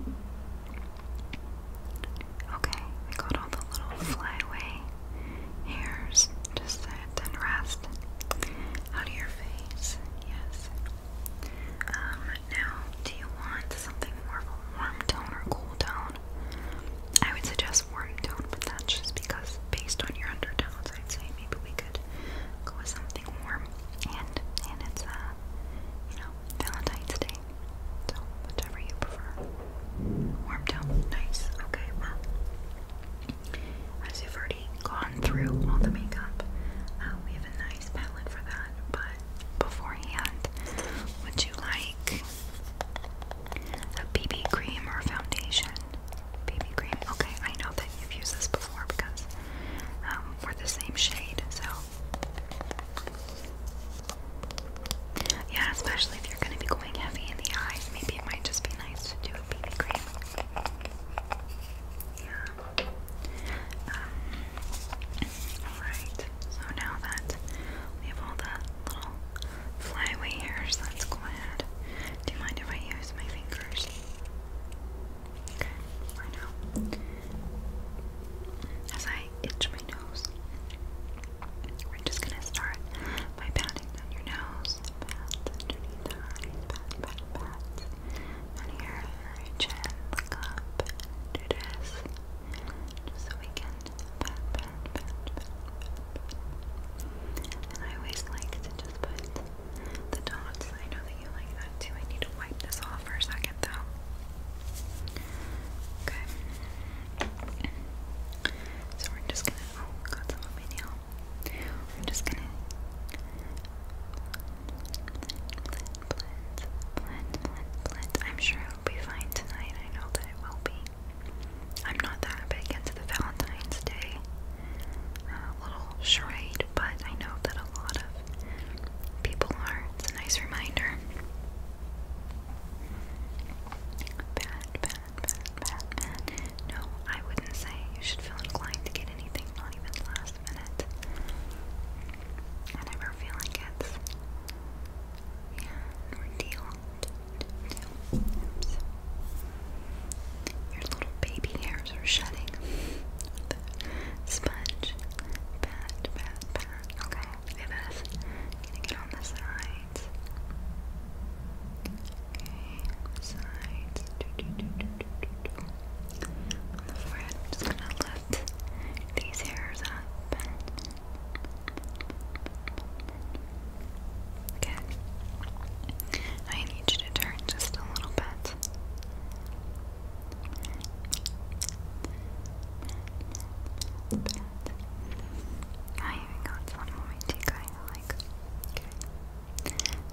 Okay, we got all the little flyaway hairs to sit and rest out of your face. Yes. Um, now, do you want something more warm tone or cool tone? I would suggest warm tone, but that's just because based on your undertones, I'd say maybe we could go with something warm. And and it's uh, you know, Valentine's Day. So, whichever you prefer. Warm tone, nice. Okay, well, as you've already gone through all the makeup, uh, we have a nice palette for that. But beforehand, would you like a BB cream or foundation? BB cream. Okay, I know that you've used this before because um, we're the same shade, so yeah, especially if you're going to be going heavy in the eyes, maybe it might just be nice to do a BB cream. Yeah. Um, alright, so now that we have all the little flyaway hairs, let's go ahead. Do you mind if I use my fingers? Okay, I know. As I I itch my nose. We're just gonna start by patting down your nose. Pat underneath the eyes. Pat, pat, pat. Down here, chin, look up. Do this. Just so we can pat, pat, pat, pat, pat. And I always like to just put the dots. I know that you like that I need to wipe this off for a second though. Okay. So we're just gonna oh got just gonna I'm sure it'll be fine tonight. I know that it will be. I'm not that big into the Valentine's Day uh, little charade, but I know that a lot of people are. It's a nice reminder. No, I wouldn't say you should feel inclined to get anything, not even last minute. I never feel like it's yeah, ordeal. Your little baby hairs are shedding. sponge. Pat, pat, Okay. It is. Gonna get on the sides. Okay, sides. On the forehead, I'm just gonna lift these hairs up. Okay. I need you to turn just a little bit. I even got some moment like,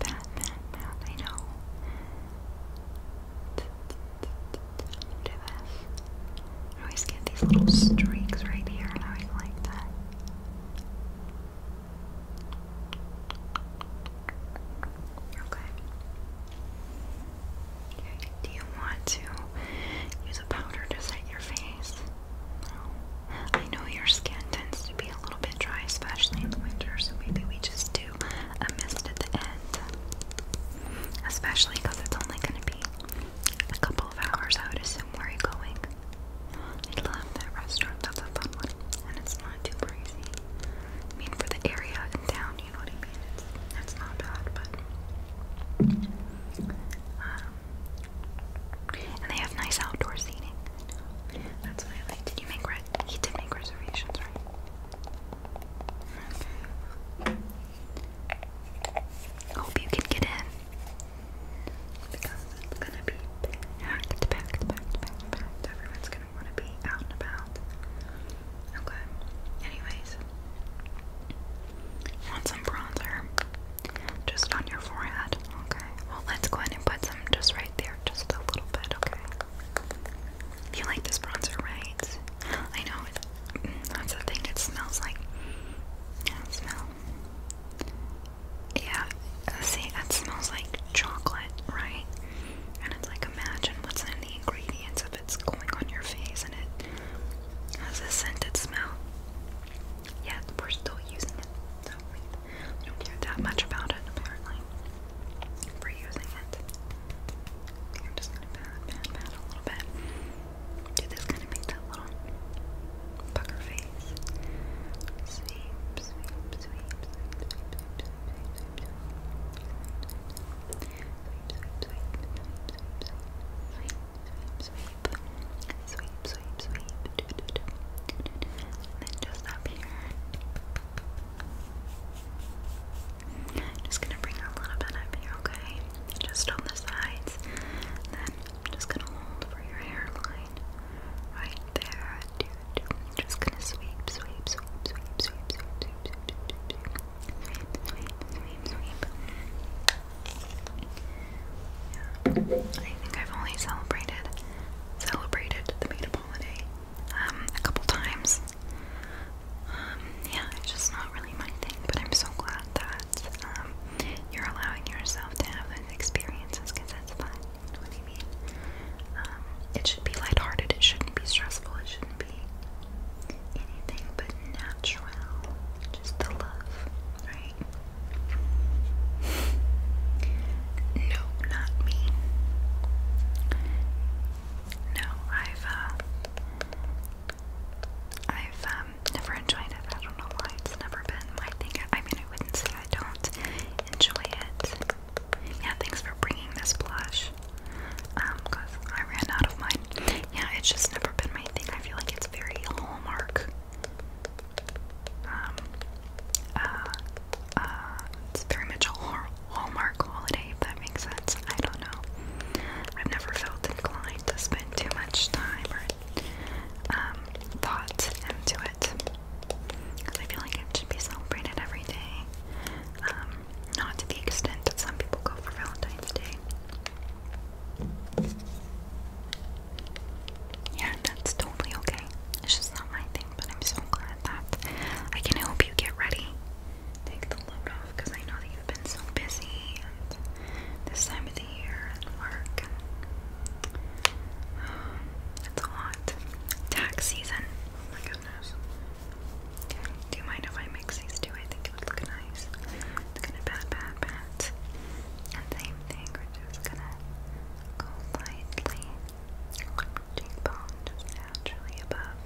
Batman now know I always get these little streaks right here and I always like that. Okay. Do you want to use a powder to set your face? No. I know your skin tends to be a little bit dry, especially in the winter, so maybe we just do a mist at the end. Especially because it's only going to be a couple of hours, I would assume, where you're going. I love that restaurant, that's a fun one, and it's not too pricey. I mean, for the area in town, you know what not bad, but. Um, and they have nice outdoor seating. That's what I like. Did you make red? He did make reservations, right? Hope you can get in. Because it's gonna be packed, packed, packed, packed. Everyone's gonna wanna be out and about. Okay. Anyways, want some bronzer just on your forehead? Okay. Well, let's go ahead and put some just right there, just a little bit. Okay. You like this bronzer, right? I know. It, mm, that's the thing. It smells like. Yeah, it smell. Yeah. Uh, see, that smells like chocolate, right? And it's like imagine what's in the ingredients of it's going on your face, and it has a scented smell. Yeah, we're still using it. don't care that much about it apparently. We're using it. I'm just gonna pat, pat, pat a little bit. Do this kind of make that little pucker face. Sweep, sweep, sweep, sweep, sweep, sweep, sweep, sweep, sweep, sweep, sweep, sweep sweep, sweep, sweep, do, do, do. And then just up here. Just gonna bring a little bit up here, okay? Just on the sides. And then just gonna hold for your hairline. Right there. Do, do. Just gonna sweep, sweep, sweep, sweep, sweep, sweep, sweep, sweep, sweep, sweep. I think I've only celebrated celebrated the meatball holiday um a couple times. Um, yeah, it's just not really my thing, but I'm so glad that um you're allowing yourself to have those experiences because that's fun. You know what mean? Um, it should be lighthearted, it shouldn't be stressful, it shouldn't be anything but natural. Just the love, right? No, not me. No, I've uh, I've um, never enjoyed it. I don't know why it's never been my thing. I mean, I wouldn't say I don't enjoy it. Yeah, thanks for bringing this blush um, because I ran out of mine. Yeah, it's just never been my thing. I feel like it's very Hallmark. Um, uh, uh, it's very much a Hallmark holiday, if that makes sense. I don't know. I've never felt inclined to spend too much time or um, thought into it. Because I feel like it should be celebrated every day. Um, not to the extent that some people go for Valentine's Day. Yeah, that's totally okay. It's just not my thing, but I'm so glad that I can help you get ready. Take the load off because I know that you've been so busy this time of the year and work. Um, it's a lot. Tax season. Oh my goodness. Do you mind if I mix these two? I think it would look nice. It's gonna pat, pat, pat. same thing, we're just gonna go lightly. Cheekbone just naturally above.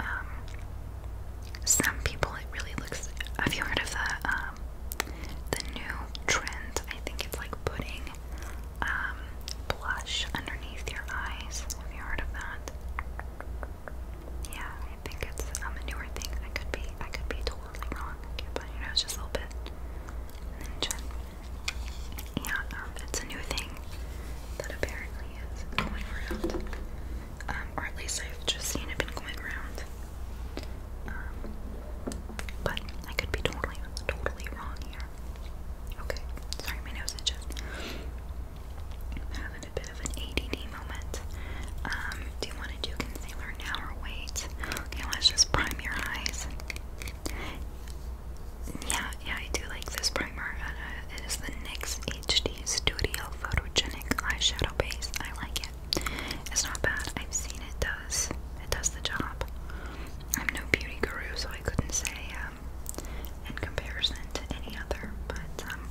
Um, some people, it really looks. Have you heard of the um, the new trend? I think it's like putting um blush underneath your eyes. Have you heard of that? Yeah, I think it's um, a newer thing. I could be, I could be totally wrong. but you know, just a little bit. And Yeah, um, it's a new thing that apparently is going around. Um, or at least I've just seen it been going around. but I could be totally, totally wrong here. Okay, sorry, my nose itches having a bit of an ADD moment. Um, do you want to do concealer now or wait? Okay, let's just prime your eyes. Yeah, yeah, I do like this primer. Uh, uh it is the NYX HD Studio Photogenic Eyeshadow Base. I like it. It's not bad. I've seen it does. It does the job. I'm no beauty guru, so I couldn't say um, in comparison to any other, but um,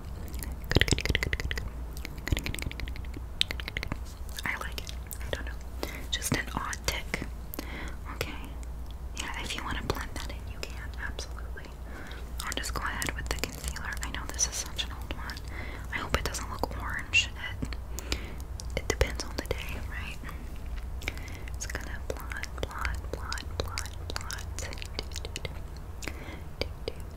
Good, good, good, good, good, good. Good, good, good, good, good, good. I like it. I don't know. Just an odd tick. Okay. Yeah, if you want to blend that in, you can. Absolutely. I'll just go ahead with the concealer. I know this is such an old one. I hope it doesn't look orange. It, it depends on the day, right? It's gonna blot, blot, blot, blot, blot. Do, do, do. Do, do,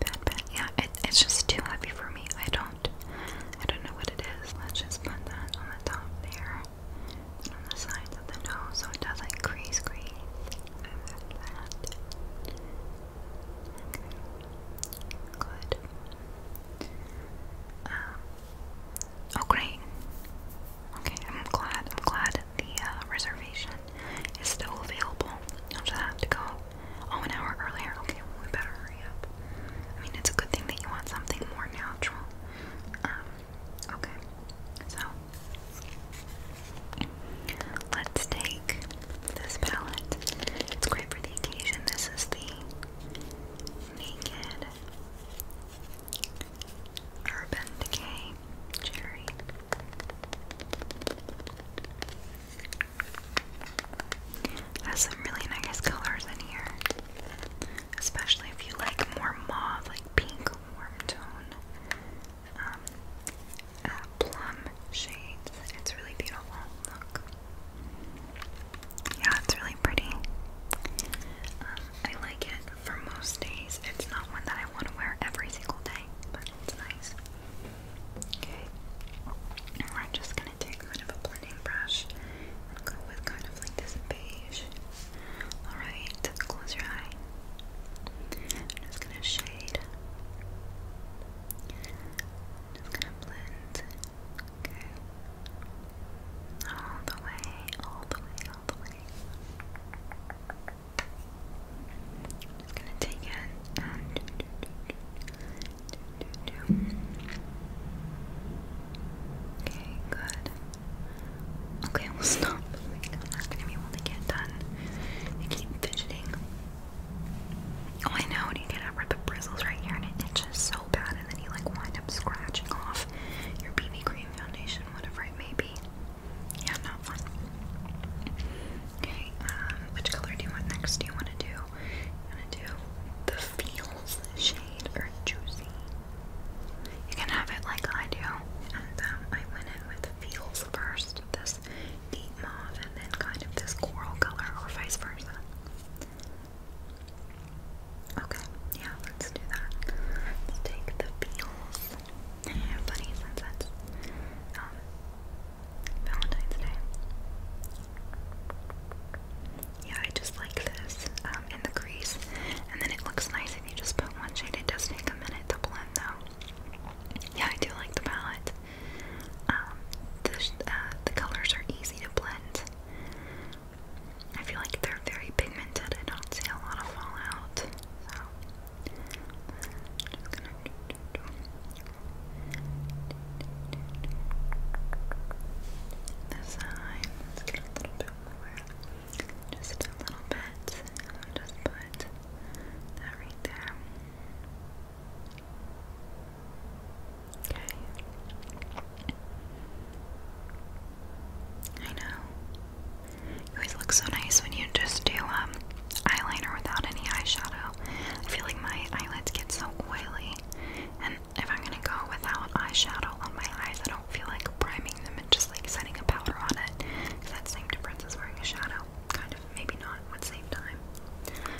Bad, bad. Yeah, it, it's just too heavy for me. I don't, I don't know what it is. Let's just put that on the top there, on the sides of the nose, so it doesn't crease, crease. Good. Um, oh Okay, I'm glad. I'm glad the uh, reservation is still available. I'll just have to go Oh, an hour earlier. Okay, well, we better hurry up. I mean, it's a good thing that you want something more natural. Um, okay, so let's take this palette. It's great for the occasion. This is the Naked Urban Decay Cherry. Has some really nice colors in here. Especially if you like more mauve, like pink, warm tone, um, uh, plum shades. It's really beautiful. Yeah, it's really pretty. Um, I like it for most days. It's not one that I want to wear every single day, but it's nice. Okay. We're just gonna take kind of a blending brush go with kind of like this beige. Alright, close your eye. I'm just gonna shade. Just gonna blend. Okay. All the way, all the way, all the way just gonna take it Okay, good. Okay, we'll stop. I'm not gonna be able to get done. I keep fidgeting. Oh, I know. you get up the bristles right here, and it itches so bad, and then you like wind up scratching off your BB cream foundation, whatever it may be. Yeah, not fun. Okay, um, which color do you want next? Do you want to do, you want to do the Feels shade or Juicy? You can have it like I do, and um, I went in with Feels first, this deep mauve, and then kind of this coral color, or vice versa. Okay, yeah, let's do that. Let's take the Feels. Funny since um, Valentine's Day. Yeah, I just like this um, in the crease. And then it looks nice if you just put one shade. It does take a minute to blend though. Yeah, I do like the palette. Um, the, uh, the colors are easy to blend. I feel like they're very pigmented. I don't see a lot of fallout. So, the sign. let a little bit Just a little bit. just put that right there. Okay. I know. You always look so nice when you just do um eyeliner without any eyeshadow. I feel like my eyelids get so oily, and if I'm gonna go without eyeshadow on my eyes, I don't feel like priming them and just like setting a powder on it. that same difference as wearing a shadow, kind of, maybe not, would save time.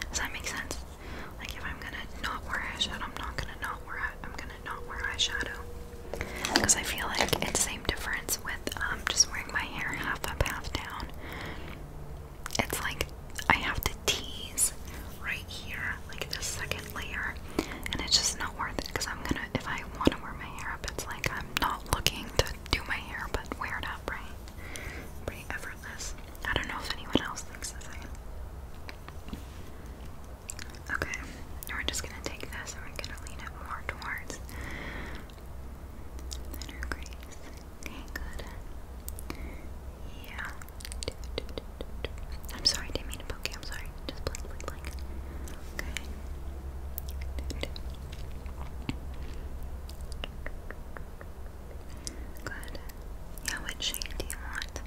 Does that make sense? Like if I'm gonna not wear eyeshadow, I'm not gonna not wear I'm gonna not wear eyeshadow. Because I feel like it's same difference with um, just wearing my hair half up, half down it's like I have to tease right here, like this second layer, and it's just not worth it because I'm gonna, if I want to wear my hair up, it's like I'm not looking to do my hair but wear it up, right? Pretty effortless. I don't know if anyone else thinks the Okay, we're just gonna take this and we're gonna lean it more towards inner crease. Okay, good. Yeah. I'm sorry, didn't mean to poke you. I'm sorry. Just blink, blink, blink. Okay. Good. Yeah, what shade do you want?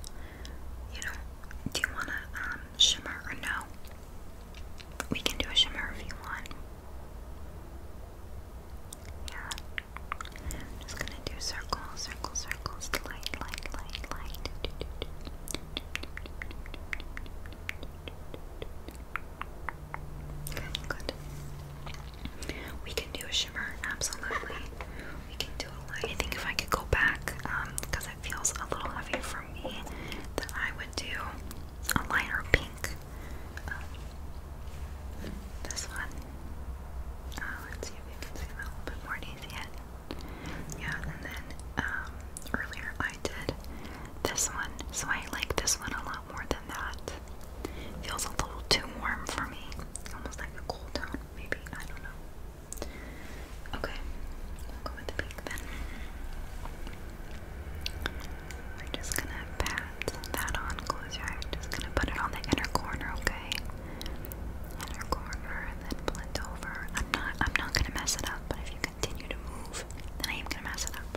You know, do you want to um, shimmer or no? We can do a shimmer if you want. Yeah, i just gonna do circles, circles, circles, light, light, light, light. Okay, good. We can do a shimmer, absolutely. We can do I think if I could go back, um, because it feels a little heavy for me, then I would do a lighter pink. Um, this one. Oh, let's see if you can see that a little bit more easy Yeah, and then um, earlier I did this one, so I like this one a lot more than that. Feels a little too warm for me, almost like a cool tone, maybe. I don't know. Okay, we'll go with the pink then. We're just gonna pat that on. Close your eyes. Just gonna put it on the inner corner, okay? Inner corner, and then blend over. I'm not. I'm not gonna mess it up. But if you continue to move, then I am gonna mess it up.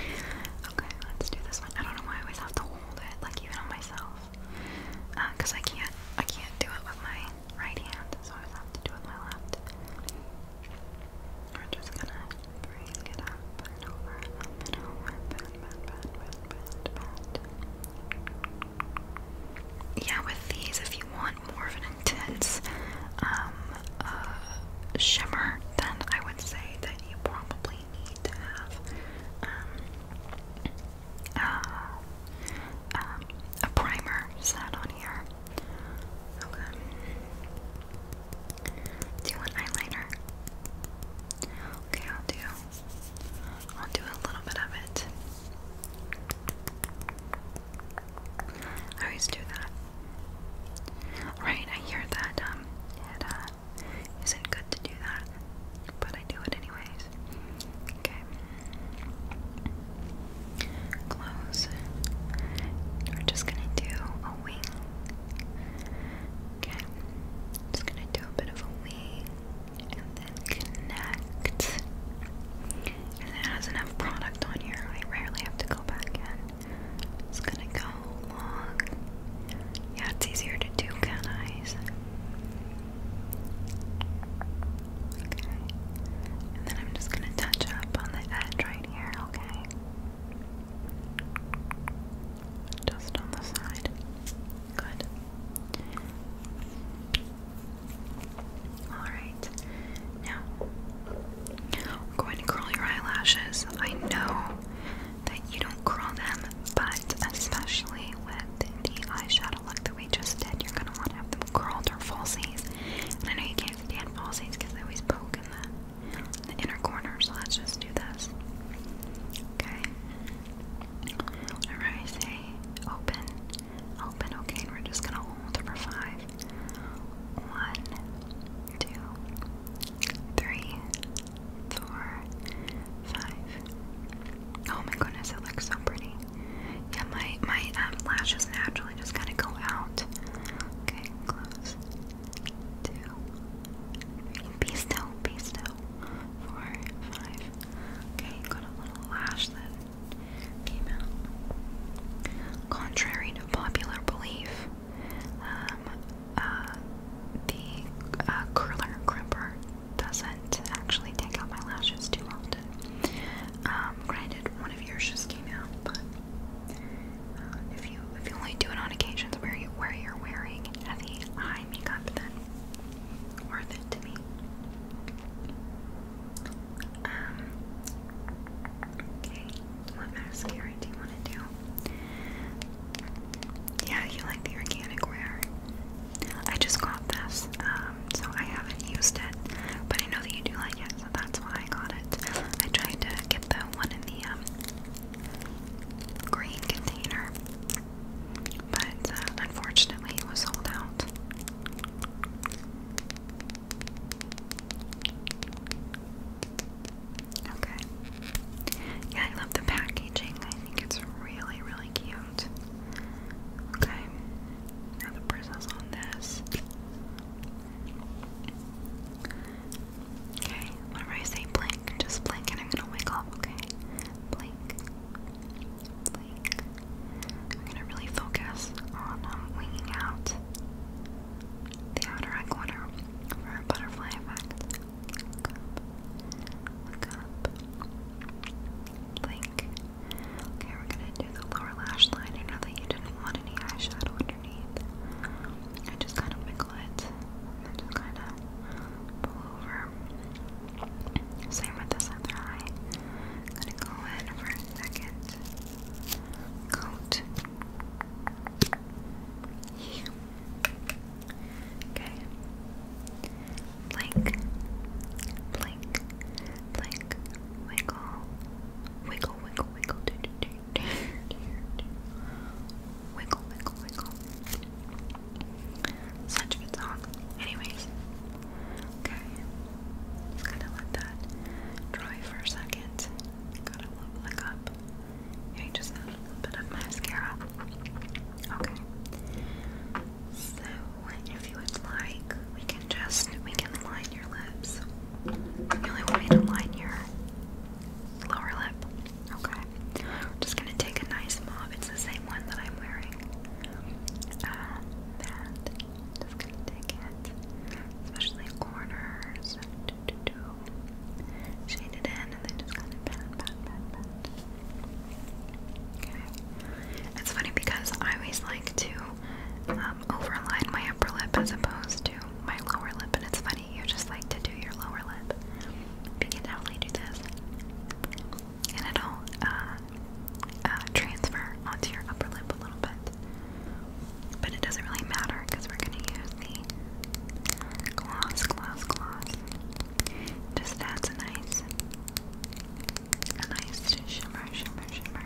Okay, let's do this one. I don't know why I always have to hold it, like even on myself, uh, cause I can't, I can't do it with my right hand, so I always have to do it with my left. We're just gonna bring it up and over, Yeah, with these, if you want more of an intense um, uh, shimmer, then I would say that you probably need to have um, uh, um, a primer set on here. Okay. Do you eyeliner? Okay, I'll do. I'll do a little bit of it. I always do that. Right, I hear that um, it uh, isn't good to do that, but I do it anyways. Okay. Close. We're just gonna do a wing Okay, just gonna do a bit of a wing and then connect. And it has enough product on here, I rarely have to go back It's gonna go long. Yeah, it's easier to do cat eyes. Okay, and then I'm just gonna touch up on the edge right here, okay? Just on the side. Good. Alright. Now, I'm going to curl your eyelashes. I know that you don't curl them, but especially with the eyeshadow look that we just did, you're going to want to have them curled or falsies. And I know you can't stand falsies because they always poke in the the inner corner, so let's just do this. Okay. Whenever I say open, open, okay, we're just gonna hold for five. One, two, three, four, five. Oh my goodness, it looks so pretty. Yeah, my my um, lashes naturally just kind of go out. Okay, close two, three. Be still, be still. Four, five. Okay, got a little lash that came out. Contrary to popular belief, um, uh, the uh, curler crimper doesn't actually take out my lashes too often. Um, granted, one of yours just came out, but uh, if you if you only do it on occasions where you where you're wearing heavy eye makeup, then worth it to me. Um. Okay. What mascara do you want to do? Yeah, you like the organic wear. I just got this, um, so I haven't used it, but I know that you do like it, so that's why I got it. I tried to get the one in the um, green container, but uh, unfortunately it was sold out. Okay. Yeah, I love the packaging. I think it's really, really cute. Okay. Now the bristles on this. Okay, whenever I say blink, just blink and I'm gonna wake up, okay? Blink. Blink. I'm gonna really focus on um, winging out the outer hindquarter for a butterfly effect. Look up. Look up. Blink. Okay, we're gonna do the lower lash line. I know that you didn't want any eyeshadow underneath. I just kind of wiggle it just kind of pull over. Same with this other eye. I'm go in for a second coat. Okay. Blink, blink, blink, wiggle, wiggle, wiggle, wiggle, do, do, do, do, do, do. Wiggle, wiggle, wiggle. Such a good song. Anyways, okay. Just gotta let that dry for a second. Gotta level it up. I just add a little bit of mascara. Okay. So, if you would like, we can just we can line your lips. You only want to line your Lower lip. Okay. just gonna take a nice mauve. It's the same one that I'm wearing. Um, and just gonna take it, especially corners. Do, do, do. Shade it in, and then just kind of pat, pat, pat, pat. Okay. It's funny because I always like to um, overline my upper lip as opposed to my lower lip, and it's funny funny, you just like to do your lower lip. We can definitely do this. And it'll uh, uh, transfer onto your upper lip a little bit. But it doesn't really matter because we're going to use the gloss, gloss, gloss. Just adds a nice, a nice shimmer, shimmer, shimmer.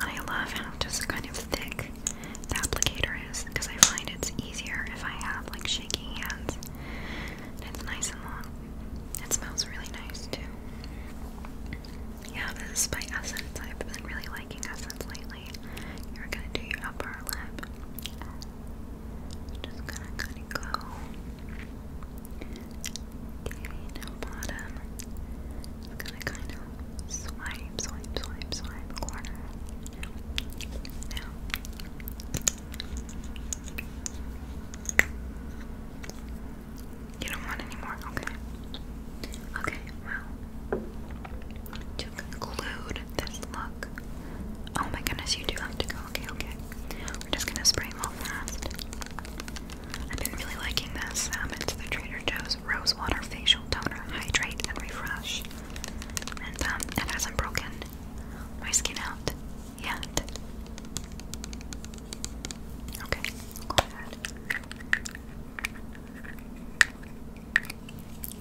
I love how just kind of thick the applicator is because I find it's easier if I have like shaking hands. it's nice and long. It smells really nice too. Yeah, this is by Essence. I've been really liking Essence lately. You're gonna do your upper lip. Just gonna kind of go. Okay, now bottom. It's going kind of Swipe, swipe, swipe, swipe, corner. Now. You don't want any more? Okay. Okay, well. To conclude this look. Oh my goodness, you do have to go. Okay, okay. We're just gonna spray all fast. I've been really liking this. Um, it's the Trader Joe's Rose Facial Toner Hydrate and Refresh and um, it hasn't broken my skin out yet. Okay, go ahead.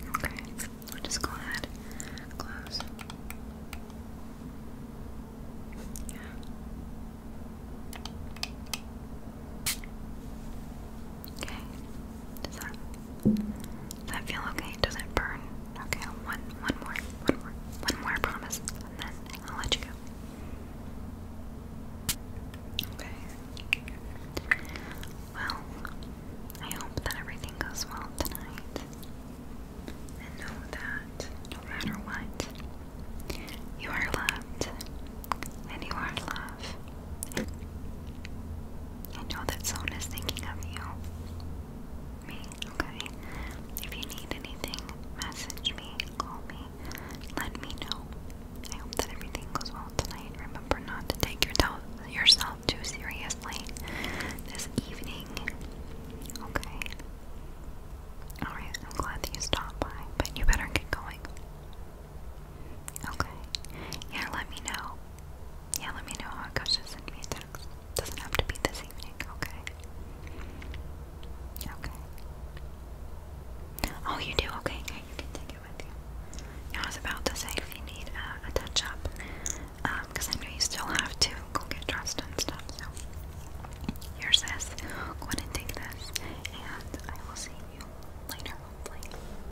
Okay, just go ahead, close. Okay. Does that, feel okay? Does it burn? Okay, one, one more, one more, one more, I promise, and then I'll let you go. Okay. Well, I hope that everything goes well tonight. And know that no matter what, you are loved and you are love. I know that someone is thinking of you. Me, okay? If you need anything, message me, call me, let me know. I hope that everything goes well tonight. Remember not to take yourself too seriously this evening, okay? Alright, I'm glad that you stopped by, but you better get going. Okay. Yeah, let me know. Yeah, let me know how it Just send me a text. Doesn't have to be this evening, okay? Okay. Oh, you do? Okay, okay, you can take it with you. I was about to say if you need uh, a touch up, because um, I know you still have to go get dressed and stuff, so. Here's this. Go ahead take this, and I will see you later, hopefully.